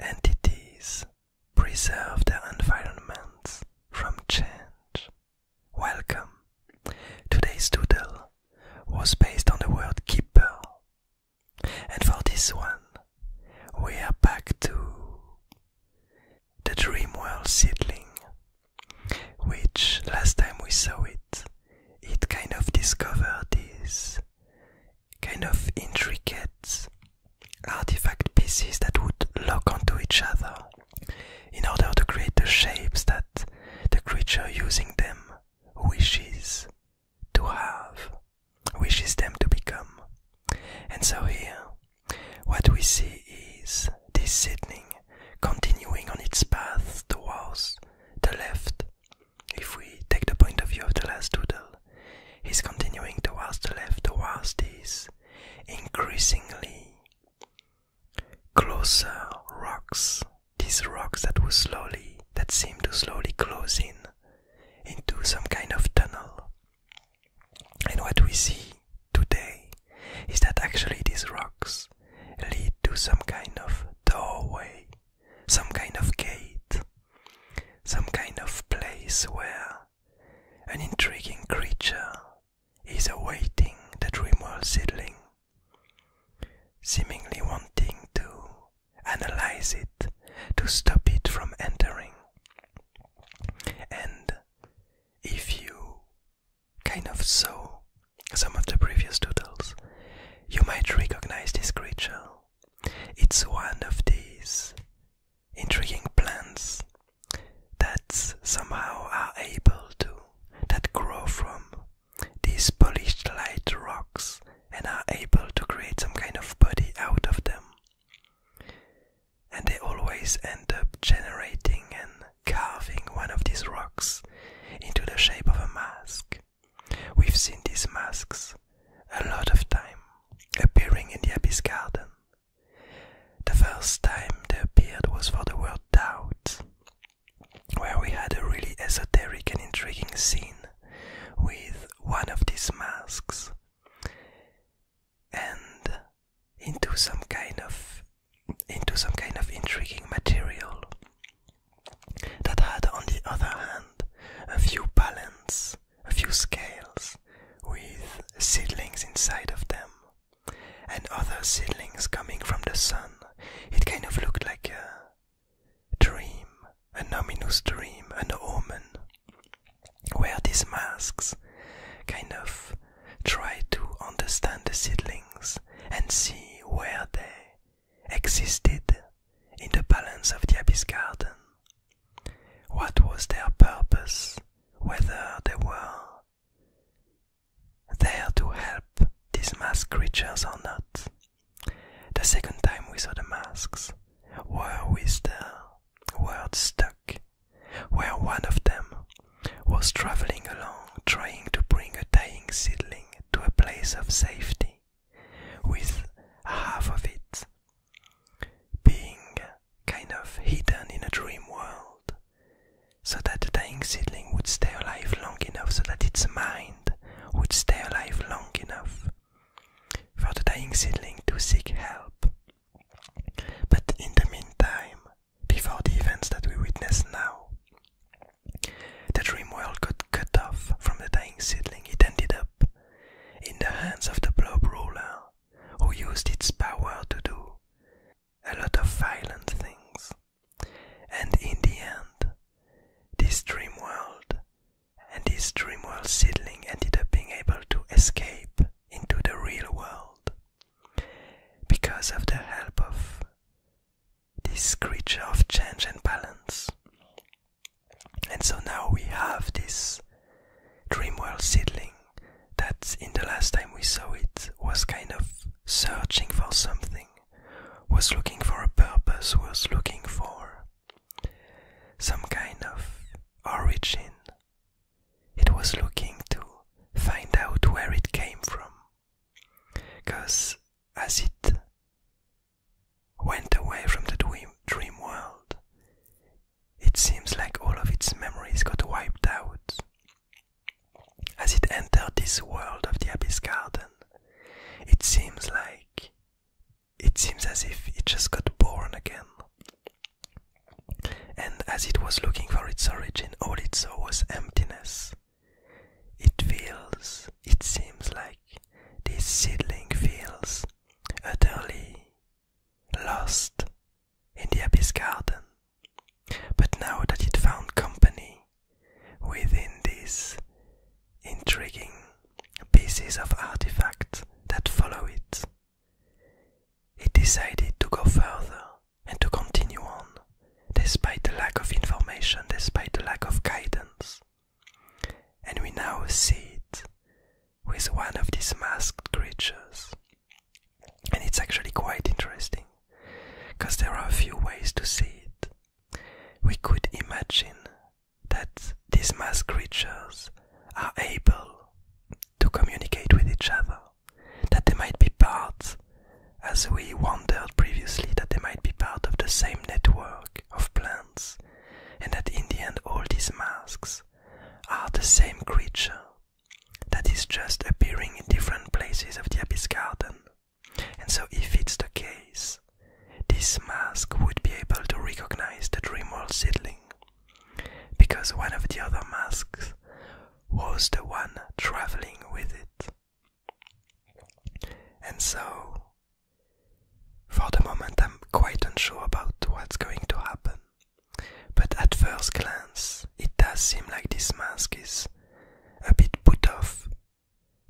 Entities preserve their environments from change. Welcome. Today's doodle was based on the word keeper. And for this one, we are back to the dream world seedling, which last time we saw it, it kind of discovered this kind of intricate artifact pieces that would lock onto each other in order to create the shapes that the creature using them wishes to have, wishes them to become. And so here, what we see is this seedling continuing on its path towards the left if we take the point of view of the last doodle, he's continuing towards the left, towards these increasingly closer rocks, these rocks that were slowly, that seemed to slowly close in into some kind of tunnel. And what we see today is that actually these rocks lead to some kind of doorway some kind of gate, some kind of place where an intriguing creature is awaiting the dreamworld seedling, seemingly wanting to analyze it to stop it from entering. And if you kind of saw some of the previous doodles, you might recognize this creature it's one of these intriguing plants that somehow are able to, that grow from these polished light rocks and are able to create some kind of body out of them. And they always end up generating and carving one of these rocks into the shape of a mask. We've seen these masks a lot of time appearing in the Abbey's Garden. The first time they appeared was for the word doubt, where we had a really esoteric and intriguing scene with one of these masks and into some kind of into some kind of intriguing material that had, on the other hand, a few balance, a few scales, with seedlings inside of them, and other seedlings coming from the sun. It kind of looked like a dream, an ominous dream, an omen, where these masks kind of try to understand the seedlings and see where they existed in the balance of the Abyss Garden. What was their purpose, whether they were there to help these masked creatures or not? The second time we saw the masks were with the word stuck, where one of them was traveling along trying to bring a dying seedling to a place of safety, with half of it being kind of hidden in a dream world, so that the dying seedling would stay alive long enough, so that its mind would stay alive long enough for the dying seedling to seek help. But in the meantime, before the events that we witness now, the dream world got cut off from the dying seedling. It ended up in the hands of the blob ruler, who used its power to do a lot of violent things. And in the end, this dream world and this dream world seedling ended up being able to escape into the real world because of the help of this creature of change and balance. And so now we have this Dreamworld seedling that in the last time we saw it was kind of searching for something, was looking for a purpose, was looking for some kind of origin. It was looking to find out where it came from. Because as it went away from the dream, world, it seems like all of its memories got wiped out. As it entered this world of the Abyss Garden, it seems like it seems as if it just got born again. And as it was looking for its origin, all it saw was emptiness. It feels, it seems like this seedling feels utterly lost in the abyss garden. But now that it found company within these intriguing pieces of artifact that follow it, it decided to go further and to continue on, despite the lack of information, despite the lack of guidance. And we now see it with one of these masked creatures. And it's actually quite interesting, because there are a few ways to see it. We could imagine that these masked creatures are able to communicate with each other that they might be part, as we wondered previously, that they might be part of the same network of plants, and that in the end all these masks are the same creature that is just appearing in different places of the abyss garden. And so, if it's the case, this mask would be able to recognize the dreamworld seedling because one of the other masks was the one traveling with it. And so, for the moment, I'm quite unsure about what's going to happen. But at first glance, it does seem like this mask is a bit put off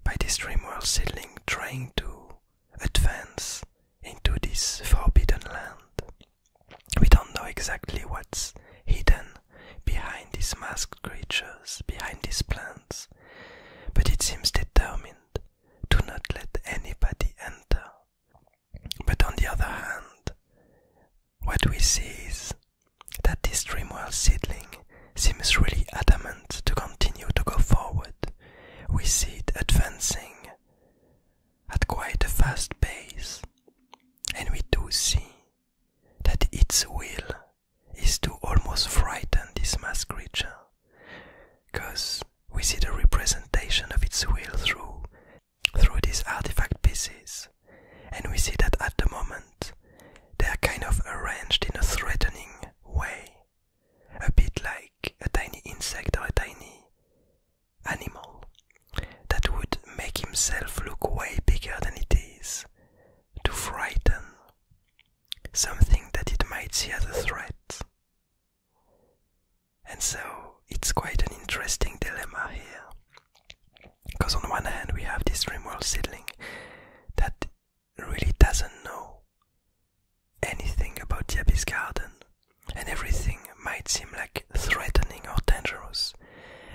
by this Dreamworld seedling trying to advance into this forbidden land. We don't know exactly what's hidden behind these masked creatures, behind these plants, but it seems determined to not let anybody enter. But on the other hand, what we see is that this dreamworld seedling seems really adamant to continue to go forward. We see it advancing at quite a fast pace, and we do see that its will is to almost frighten this mass creature, because we see the representation of its will through through these artifact pieces, and we see that at the moment they are kind of arranged in a threatening way, a bit like a tiny insect or a tiny animal that would make himself look way bigger than it is, to frighten something that it might see as a threat. And so it's quite an interesting dilemma here. Because on one hand, we have this world seedling that really doesn't know anything about the Garden and everything might seem like threatening or dangerous,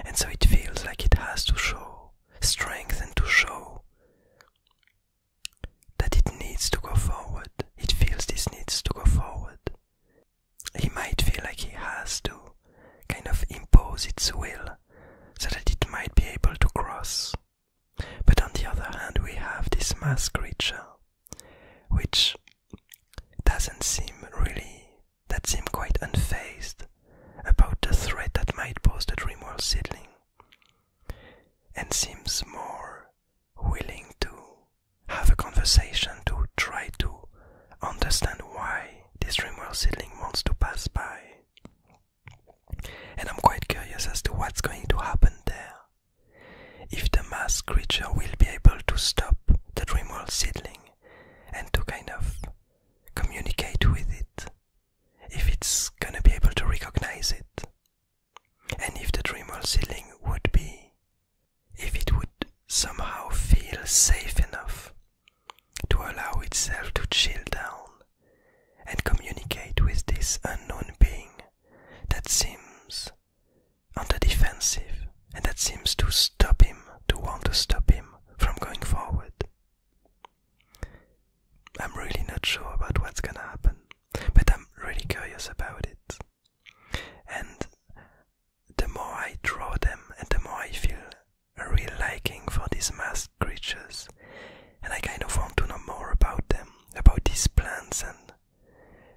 and so it feels like it has to show strength and to show that it needs to go forward. It feels this needs to go forward. It might feel like it has to kind of impose its will so that it might be able to cross. But on the other hand, we have this mass creature which doesn't seem really that seems quite unfazed about the threat that might pose the dreamworld seedling and seems more willing to have a conversation to try to understand why this dreamworld seedling wants to pass by and i'm quite curious as to what's going to happen there if the mass creature will be able to stop the dreamworld seedling and to kind of communicate with it, if it's gonna be able to recognize it, and if the dreamworld seedling would be, if it would somehow feel safe enough to allow itself to chill down and communicate with this unknown being that seems on the defensive, and that seems to stop him, to want to stop him from going forward. I'm really not sure about what's gonna happen, but I'm really curious about it. And the more I draw them, and the more I feel a real liking for these masked creatures, and I kind of want to know more about them, about these plants and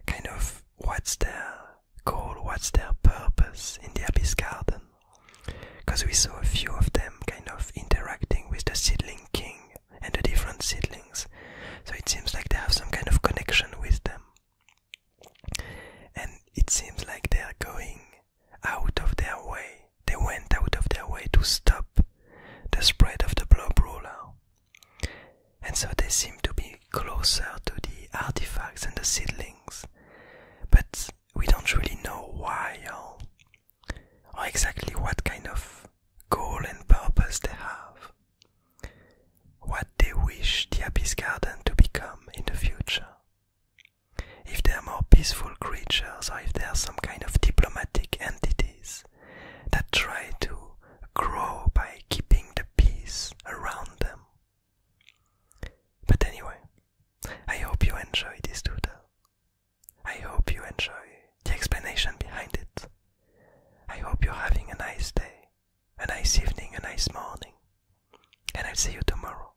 kind of what's their goal, what's their purpose in the Abyss Garden. Because we saw a few of them kind of interacting with the Seedling King and the different seedlings, so it seems like they have some kind of connection with them. And it seems like they are going out of their way. They went out of their way to stop the spread of the blob ruler and so they seem to be closer to the artifacts and the seedlings, but we don't really know why or, exactly what kind of goal and purpose they have, what they wish the Abyss Garden to become in the future. If they are more peaceful creatures or if they are some kind of diplomatic entities, that try to grow by keeping the peace around them. But anyway, I hope you enjoy this doodle. I hope you enjoy the explanation behind it. I hope you're having a nice day, a nice evening, a nice morning, and I'll see you tomorrow.